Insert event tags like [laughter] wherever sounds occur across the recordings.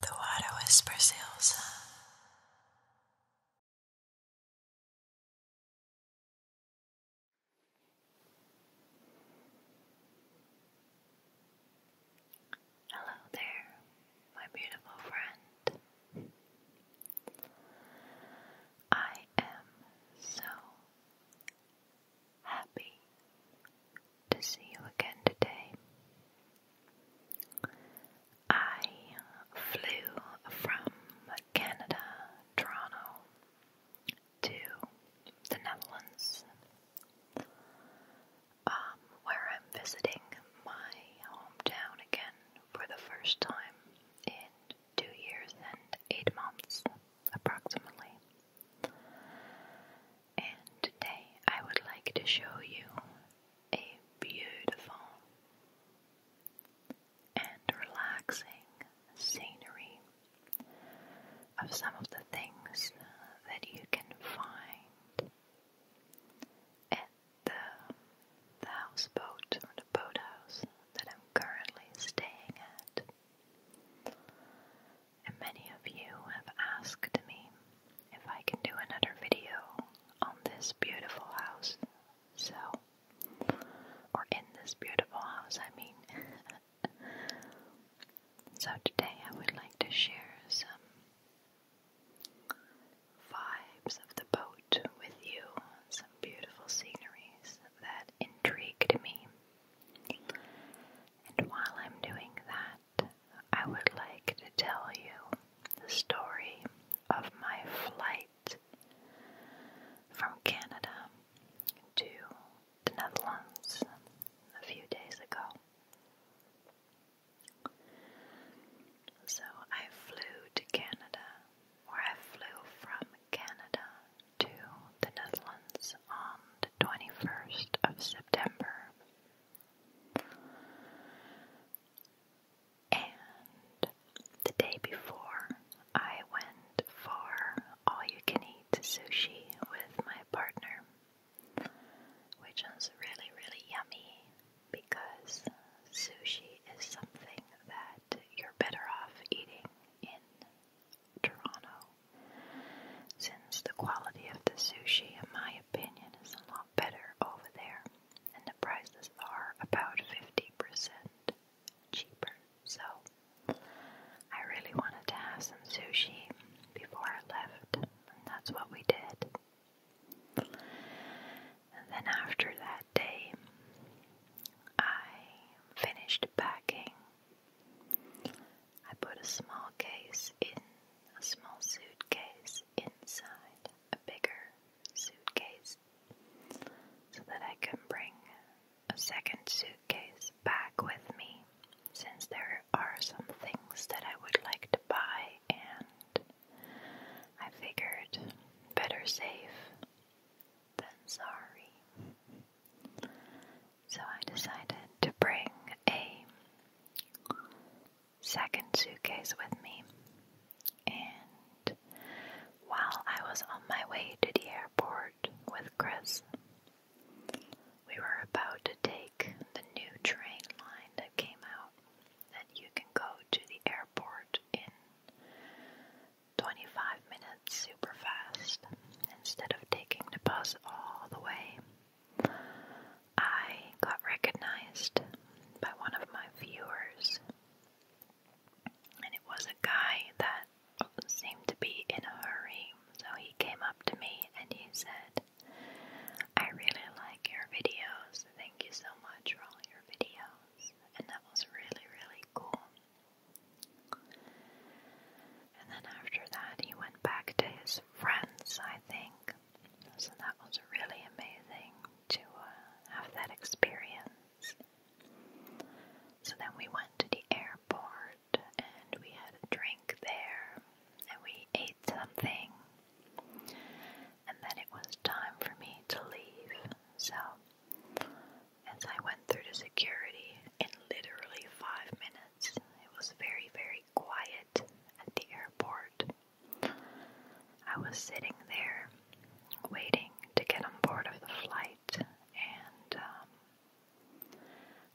The water whispers Elsa. Hello there, my beautiful friend. I am so happy to see you again today. I flew from Canada, Toronto, to the Netherlands, um, where I'm visiting my hometown again for the first time in two years and eight months, approximately and today I would like to show you a beautiful and relaxing scenery of some of the things that you can find at the, houseboat or the boathouse that I'm currently staying at and many of you have asked me if I can do another video on this beautiful house. So, or in this beautiful house, I mean. [laughs] so, today I would like to share some vibes of the boat with you, some beautiful sceneries that intrigued me. And while I'm doing that, I would like to tell you the story of my flight from Canada to the Netherlands a few days ago. So I flew to Canada, or I flew from Canada to the Netherlands on the 21st of September and the day before, I went for all you can eat sushi with my partner, which was really, really yummy because sushi is something that you're better off eating in Toronto since the quality of the sushi, in my opinion, is a lot better over there, and the prices are about 50% cheaper, so I really wanted to have some sushi before I left, and that's what we did. And then after that day, I finished packing I put a small case in a small suitcase inside a bigger suitcase so that I can bring a second suitcase back with me since there are some things that I would like to buy and I figured better safe than sorry. So I decided to bring a second suitcase with me. And while I was on my way to the airport with Chris, we were about to take the new train line that came out that you can go to the airport in 25 minutes super fast instead of taking the bus all the way I got recognized by one of my viewers, and it was a guy that seemed to be in a hurry. So he came up to me and he said, I really like your videos. Thank you so much for all your videos. And that was really, really cool. And then after that, he went back to his friends, I think. So that was really amazing to uh, have that experience. So then we went to the airport and we had a drink there and we ate something. And then it was time for me to leave. So as I went through the security in literally five minutes, because it was very, very quiet at the airport. I was sitting there waiting to get on board of the flight, and um,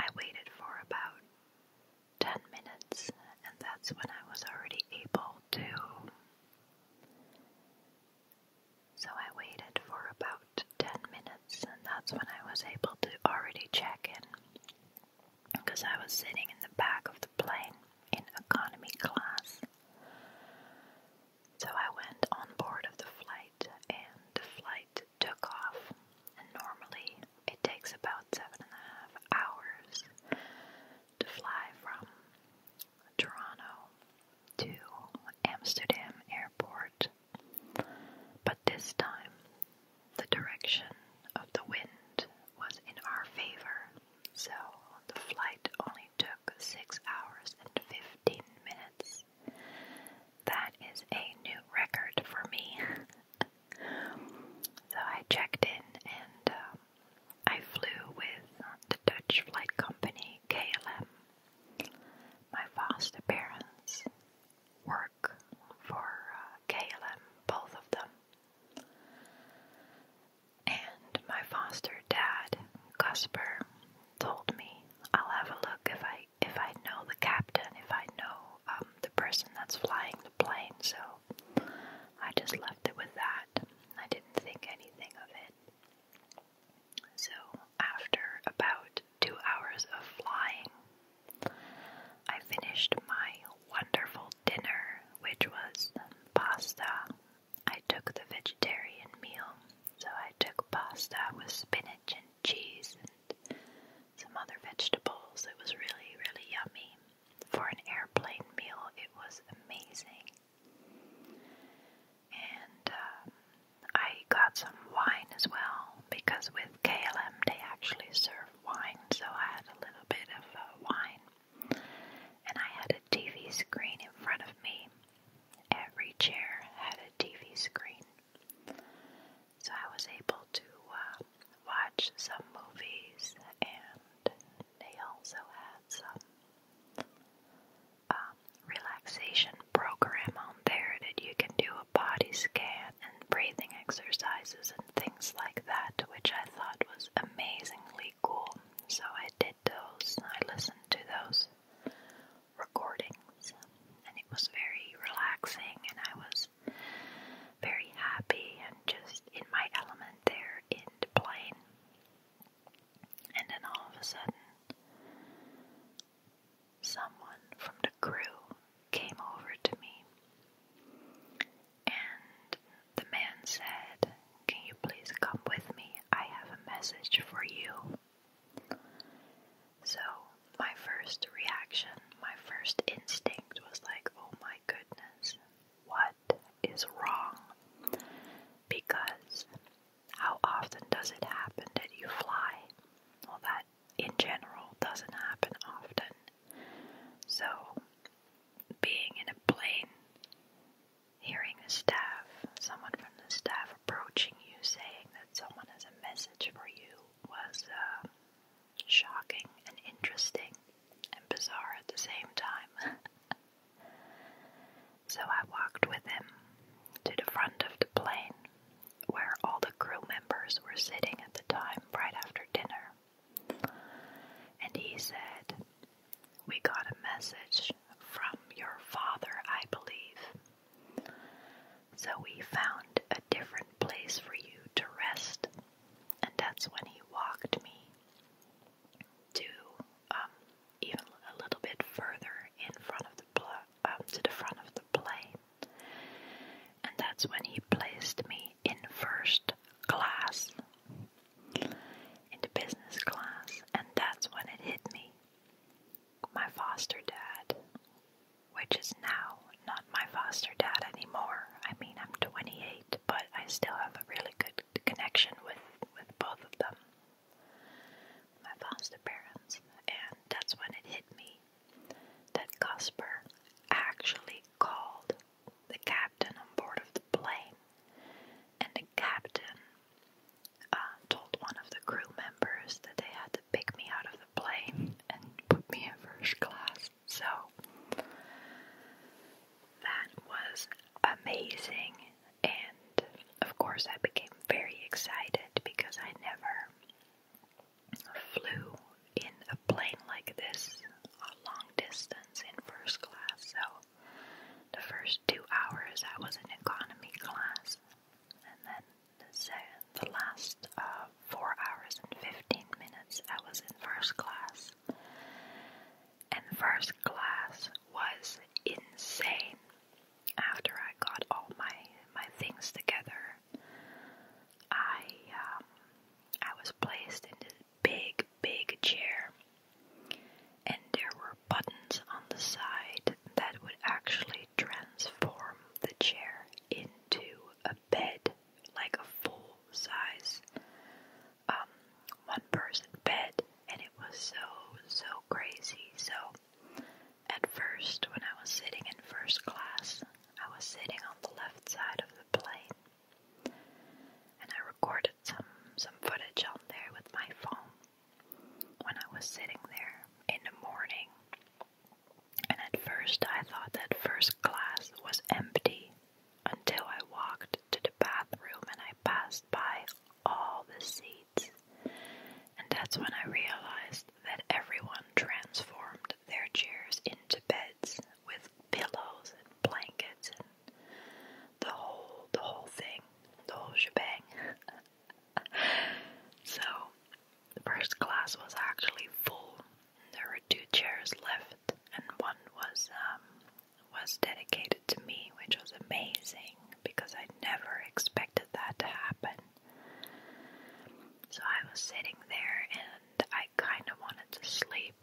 I waited for about 10 minutes, and that's when I was already able to. So I waited for about 10 minutes, and that's when I was able to already check in because I was sitting in the back of the plane in economy class. So I went on board of the flight, and the flight took off. And normally it takes about seven and a half hours to fly from Toronto to Amsterdam Airport but this time, the direction of the wind was in our favor, so the flight only took 6 hours and 15 minutes. That is a new record for me. [laughs] so I checked in and um, I flew with the Dutch flight company KLM. My first appearance work for uh, KLM, both of them. And my foster dad, Cusper, told me I'll have a look if I if I know the captain, if I know um, the person that's flying the plane. So I just left it with that. I didn't think anything of it. So after about two hours of flying. I finished my wonderful dinner, which was pasta. I took the vegetarian meal, so I took pasta with spinach and cheese and some other vegetables. It was really, really yummy. For an airplane meal, it was amazing. And um, I got some wine as well because with with KLM, they actually serve wine, so I had a little bit of uh, wine. And I had a TV screen in front of me. Every chair had a TV screen. So I was able to uh, watch some movies, and they also had some um, relaxation program on there that you can do body scan and breathing exercises and things like that, which I thought was amazingly cool. So I did those, I listened to those recordings, and it was very relaxing, and I was very happy and just in my element there in the plane. And then all of a sudden, someone from the crew came over to me and the man said, Can you please come with me? I have a message for you. So, my first reaction, my first instinct was like, Oh my goodness, what is wrong? Because how often does it happen that you fly? all that in general doesn't happen often. So, being in a plane, hearing the staff, someone from the staff approaching you saying that someone has a message for you was uh, shocking and interesting and bizarre at the same time. [laughs] so I walked with him to the front of the plane where all the crew members were sitting at the time right after dinner. And he said, We got a message from your father, I believe. So we found a different place for you to rest. And that's when he walked me to um, even a little bit further in front of the um, to the front of the plane. And that's when he placed me in first class, in the business class, and that's when it hit me. My foster dad, which is now not my foster dad anymore. I mean, I'm 28, but I still have a really good connection with, with both of them, my foster parents, and that's when it hit me that Cosper actually called the captain on board of the plane, and the captain uh, told one of the crew members that they had to pick me out of the plane and put me in first class. So that was amazing, and of course, I became very excited because I never flew in a plane like this a long distance in first class, so the first two hours I was in economy class, and then the, second, the last uh, four hours and 15 minutes I was in first class. And first class was insane after I got all my my things together, I um, I was placed in this big big chair, and there were buttons on the side that would actually transform the chair into a bed, like a full size um, one person bed, and it was so so crazy so. At first, when I was sitting in first class, I was sitting on the left side of the plane, and I recorded some some footage on there with my phone. When I was sitting there in the morning, and at first I thought that first class was empty until I walked to the bathroom and I passed by all the seats. And that's when I realized that everyone transformed their chairs into beds with pillows and blankets and the whole the whole thing, the whole shebang. [laughs] so the first class was actually full. There were two chairs left, and one was um, was dedicated to me, which was amazing because I never expected that to happen. So I was sitting there and I kind of wanted to sleep,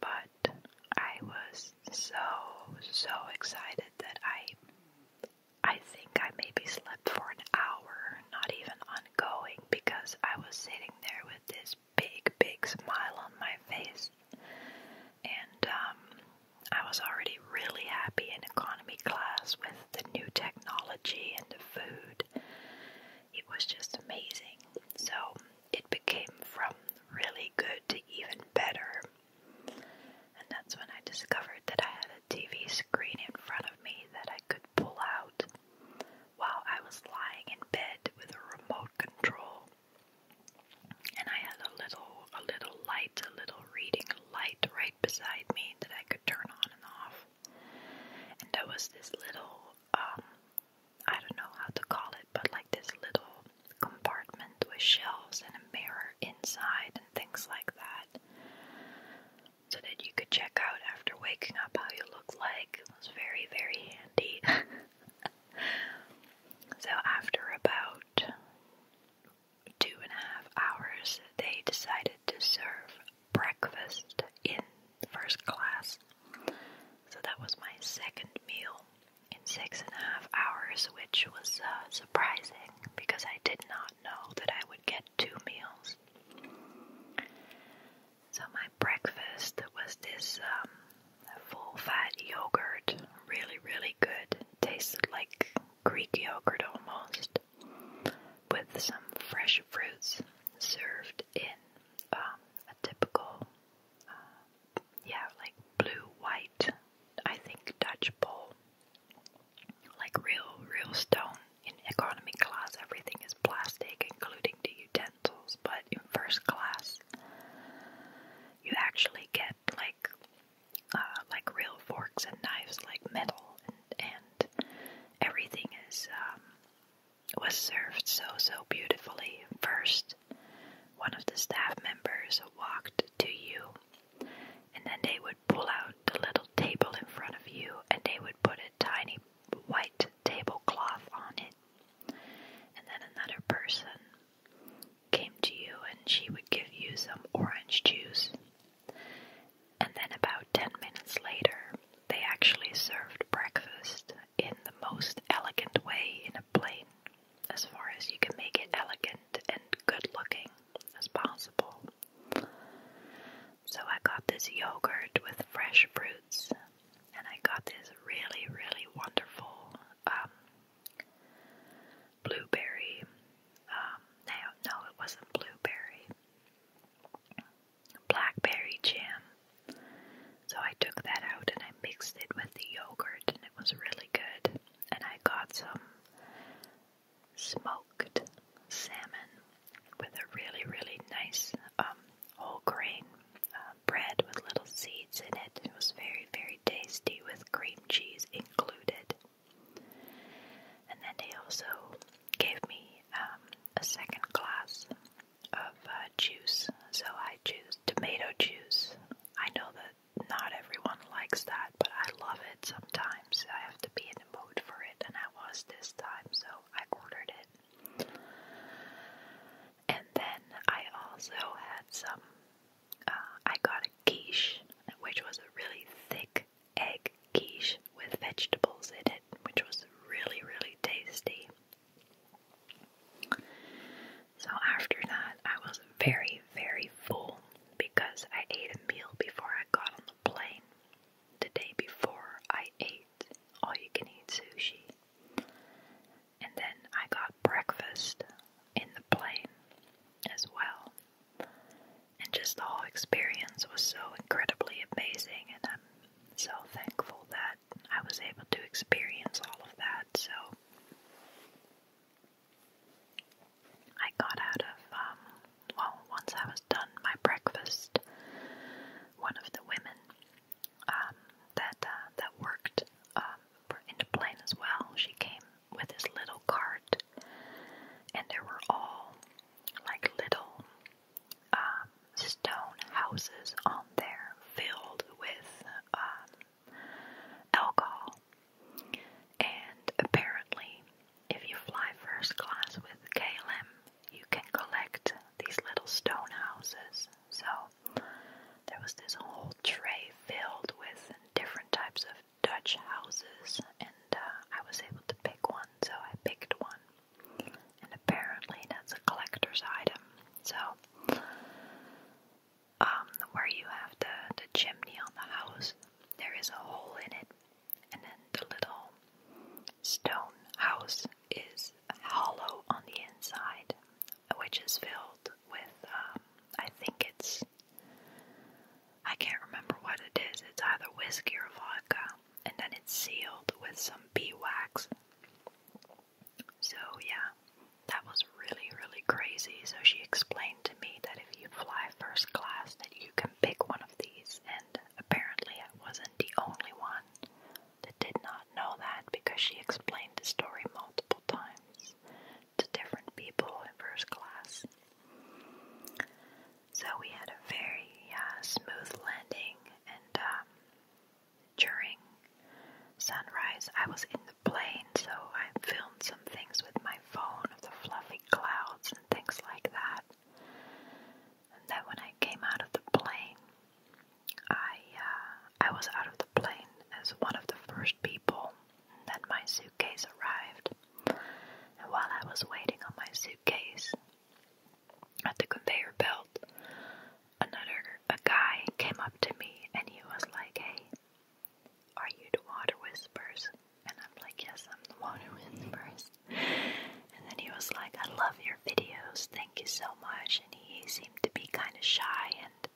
but I was so, so excited that I. I think I maybe slept for an hour, not even ongoing, because I was sitting there with this big, big smile on my face. And um, I was already be really happy in economy class with the new technology and the food. It was just amazing. So it became from really good to even better. And that's when I discovered that I had a TV screen in front of me that I could pull out while I was lying in bed with a remote control. And I had a little a little light, a little reading light right beside me that I could turn on and off. And there was this little, um, I don't know how to call it, but like this little compartment with shelves and a mirror inside and things like that. So that you could check out after waking up how you looked like. It was very, very handy. [laughs] so, after about two and a half hours, they decided to serve breakfast in first class. So that was my second meal in six and a half hours, which was uh, surprising because I did not know that I would get two meals. So my breakfast was this um, full fat yogurt, really, really good. Tasted like Greek yogurt almost with some fresh fruits served in um, a typical, uh, yeah, like blue white, I think Dutch bowl. Like real, real stone. In economy class, everything is plastic, including the utensils, but in first class, you actually get like uh, like real forks and knives, like metal, and and everything is um, was served so so beautifully. First, one of the staff members walked to you, and then they would pull out the little table in front of you, and they would put a tiny white tablecloth on it. And then another person came to you and she would give you some orange juice and then, about ten minutes later, they actually served breakfast in the most elegant way in a plane, as far as you can make it elegant and good looking as possible. So, I got this yogurt with fresh fruits, and I got this really, really wonderful um, blueberry um, now, no, it wasn't blueberry. Blackberry jam. So I took that out and I mixed it with the yogurt, and it was really good. And I got some smoked salmon with a really, really nice um, whole grain uh, bread with little seeds in it. It was very, very tasty with cream cheese included. And then they also gave me um, a second glass of uh, juice. So I choose tomato juice. I know that not everyone likes that, but I love it sometimes. I have to be in the mood for it, and I was this time, so I ordered it. And then I also had some, uh, I got a quiche, which was a really thick egg quiche with vegetables in it, which was really, really tasty. So after that, I was very, very full because I ate a meal before I got on the plane. The day before, I ate all you can eat sushi. And then I got breakfast in the plane as well. And just the whole experience was so incredibly amazing, and I'm so thankful that I was able to experience all of that. So I got out of, um, well, once I was done my breakfast, one of the women um, that uh, that worked um, in the plane as well, she came with his little cart, and there were all like little um, stone houses on there filled with um, alcohol. And apparently, if you fly first class with KLM, you can collect these little stone houses. So there was this whole tray filled with different types of Dutch houses, and uh, I was able to pick one, so I picked one. And apparently, that's a collector's item. So, um, where you have the, the chimney on the house, there is a hole in it, and then the little stone house is hollow on the inside, which is filled with, um, I think it's I can't remember what it is. It's either whiskey or vodka, and then it's sealed with some bee wax. So, yeah, that was really, really crazy. So, she explained to me that if you fly first class, that you can pick one of these, and apparently, I wasn't the only one that did not know that because she explained the story multiple times to different people in first class. So we had a very uh, smooth landing, and um, during sunrise, I was in the plane, so I filmed some things with my phone of the fluffy clouds and things like that. And then when I came out of the plane, I uh, I was out of the plane as one of the first people. And then my zoo suitcase arrived, and while I was waiting on my suitcase at the conveyor belt, another a guy came up to me and he was like, Hey, are you the water whispers? And I'm like, Yes, I'm the water whispers. And then he was like, I love your videos, thank you so much. And he seemed to be kind of shy and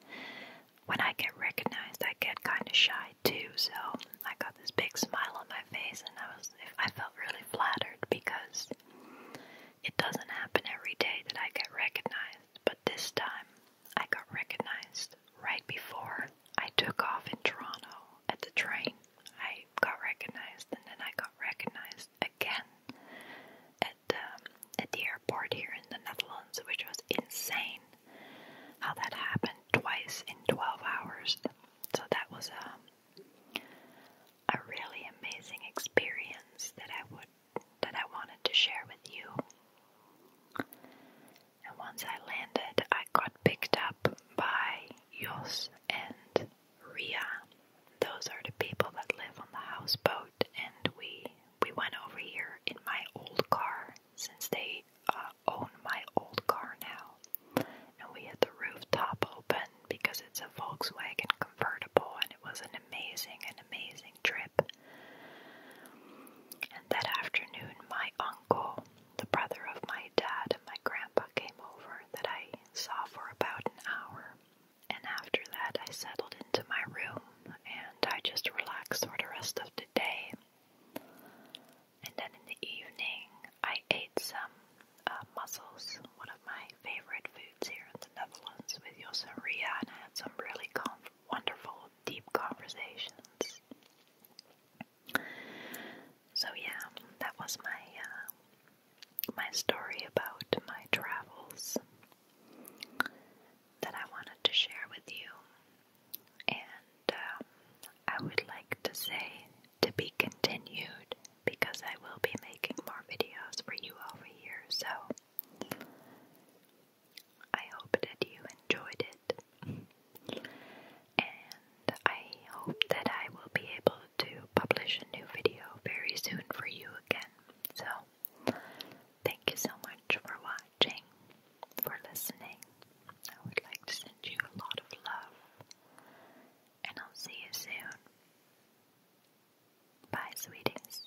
when I get recognized, I get kind of shy too. So I got this big smile on my face, and I was I felt really flattered because it doesn't happen every day that I get recognized. But this time, I got recognized right before I took off in Toronto at the train. I got recognized, and then I got recognized again at um, at the airport here in the Netherlands, which was insane. How that happened twice in 12 hours. So that was a um, a really amazing experience that I would that I wanted to share with you. And once I landed, I got picked up by Jos and Ria. Those are the people that live on the houseboat, and we we went over here in my old car since they uh, own my old car now. And we had the rooftop open because it's a Volkswagen convertible, and it was an amazing, an amazing trip. And that afternoon, my uncle, the brother of my dad, and my grandpa came over that I saw for about an hour. And after that, I settled into my room and I just relaxed for the rest of the day. And then in the evening, I ate some uh, mussels, one of my favorite foods here in the Netherlands, with Jos and Ria, and I had some really wonderful, deep conversations. So yeah, that was my uh, my story about my travels that I wanted to share with you, and uh, I would like to say to be continued because I will be making more videos for you over here. So I hope that you enjoyed it, and I hope that I will be able to publish a new video very soon for you again. So Thank you so much for watching, for listening. I would like to send you a lot of love, and I'll see you soon. Bye, sweeties.